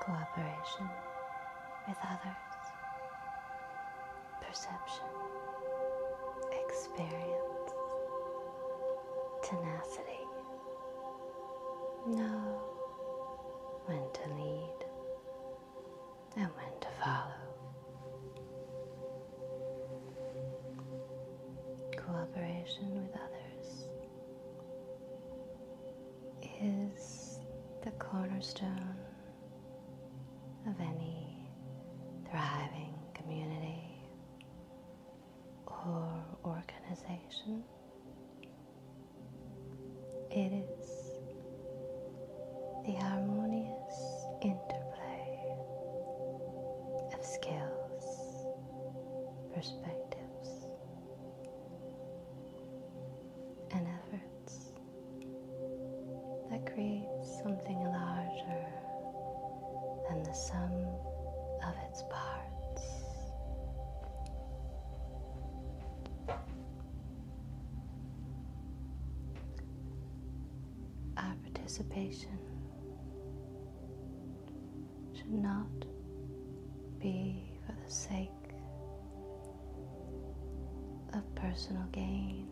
Cooperation with others, perception, experience, tenacity. Know when to lead, and when to follow. Cooperation with others is the cornerstone of any thriving community or organization. It is the harmonious interplay of skills, perspectives, and efforts that creates something larger than the sum of its parts our participation should not be for the sake of personal gain,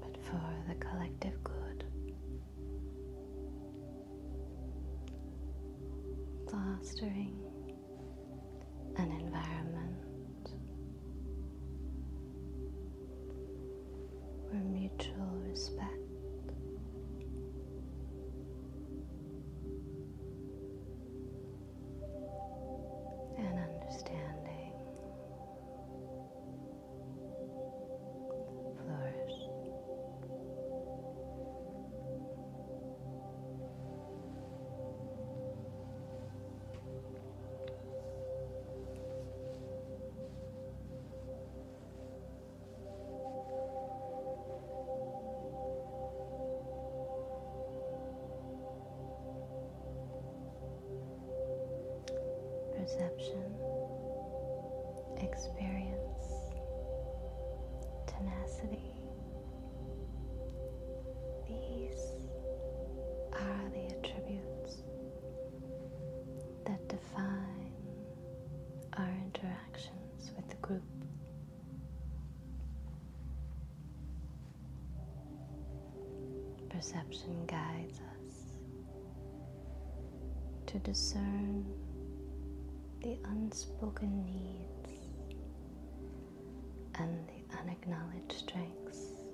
but for the collective good. Fostering an environment where mutual respect and understanding flourish perception, experience, tenacity. These are the attributes that define our interactions with the group. Perception guides us to discern the unspoken needs and the unacknowledged strengths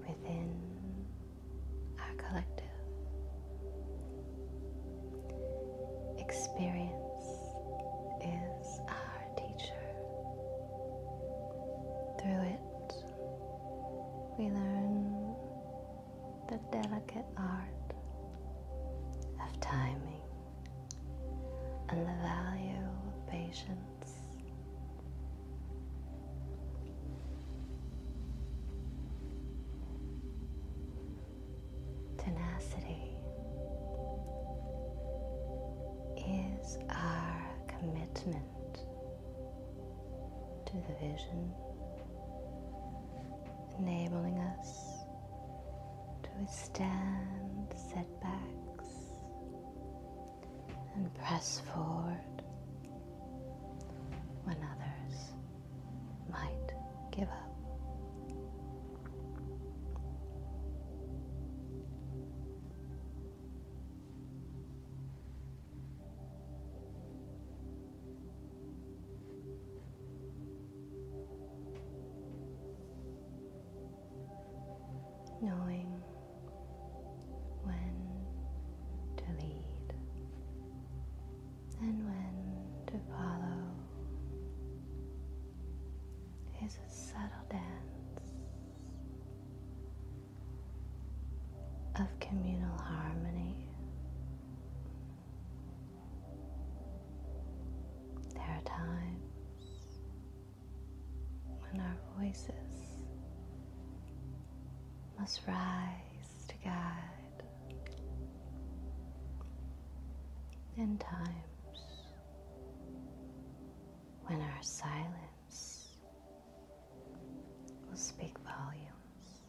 within our collective. Experience is our teacher. Through it, we learn the delicate art of timing and the value of patience. Tenacity is our commitment to the vision, enabling us to withstand setbacks and press forward when others might give up knowing when to lead and when to follow is a subtle dance of communal harmony there are times when our voices must rise to guide, and times when our silence will speak volumes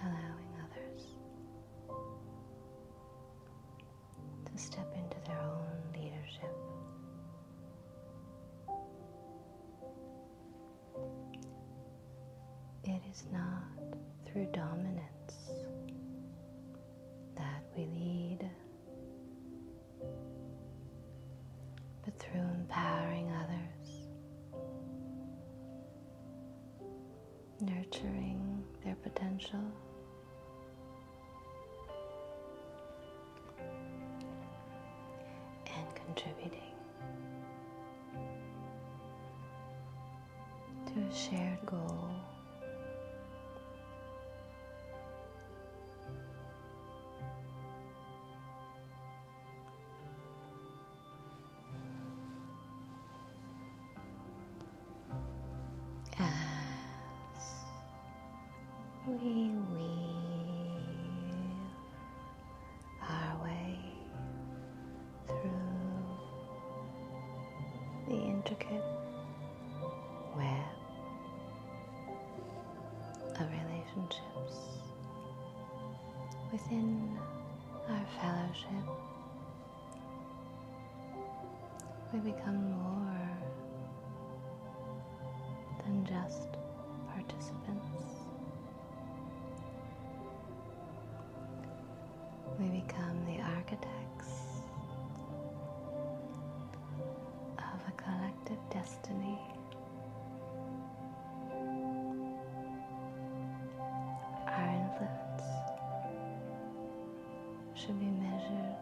allowing others to step into their own leadership. It is not through dominance that we lead, but through empowering others, nurturing their potential. and contributing to a shared goal. As we weave our way through the intricate web of relationships within our fellowship. We become more than just participants. We become the architects of a collective destiny. Our influence should be measured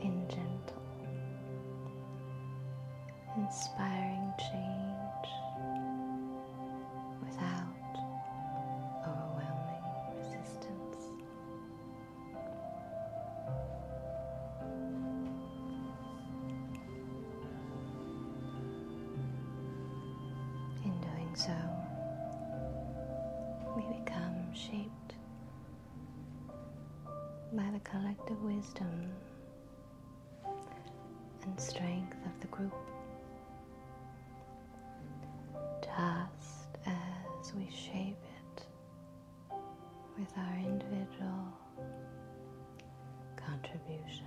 in gentle inspiring change without overwhelming resistance. In doing so, we become shaped by the collective wisdom and strength of the group, just as we shape it with our individual contributions.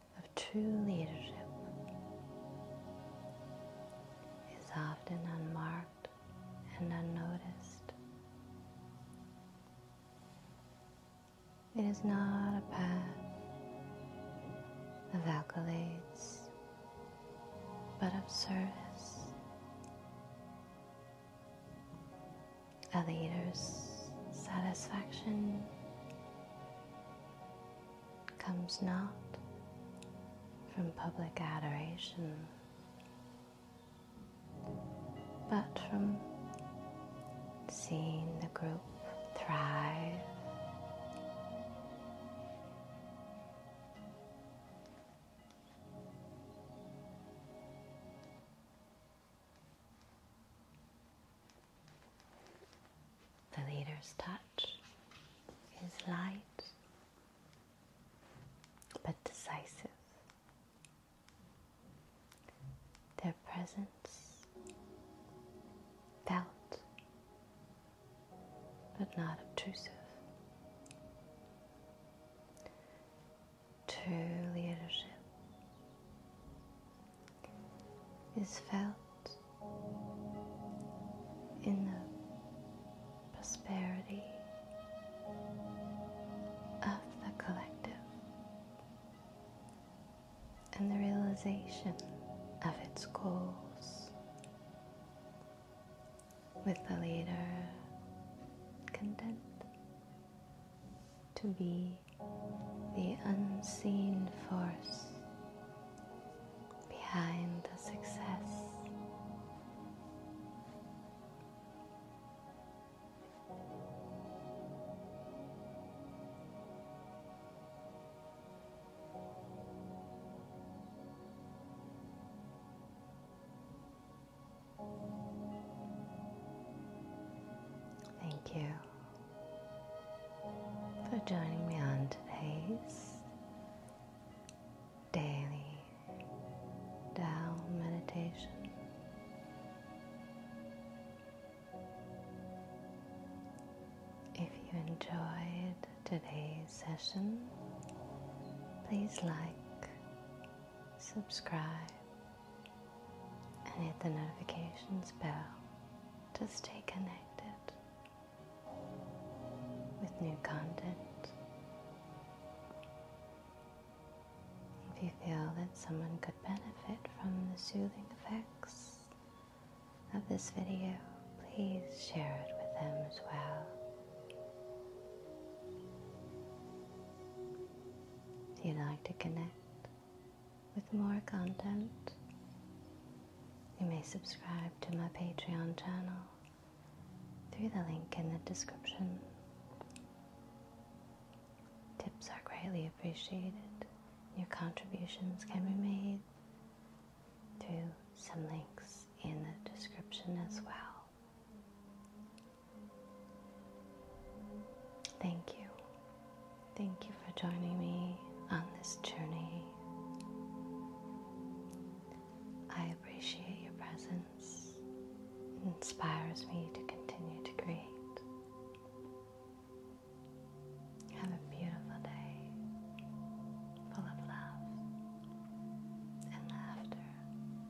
of true leadership is often unmarked and unnoticed. It is not a path of accolades, but of service. A leader's satisfaction comes not from public adoration, but from seeing the group thrive. The leader's touch is light but decisive. Their presence felt but not obtrusive. True leadership is felt in the prosperity of the collective and the realization of its goals with the leader content to be the unseen force behind the success. Thank you for joining me on today's daily Dao meditation. If you enjoyed today's session, please like, subscribe, and hit the notifications bell to stay connected with new content. If you feel that someone could benefit from the soothing effects of this video, please share it with them as well. If you like to connect, with more content, you may subscribe to my Patreon channel through the link in the description. Tips are greatly appreciated. Your contributions can be made through some links in the description as well. Thank you. Thank you for joining me on this journey. I appreciate your presence. inspires me to continue to create. Have a beautiful day full of love and laughter.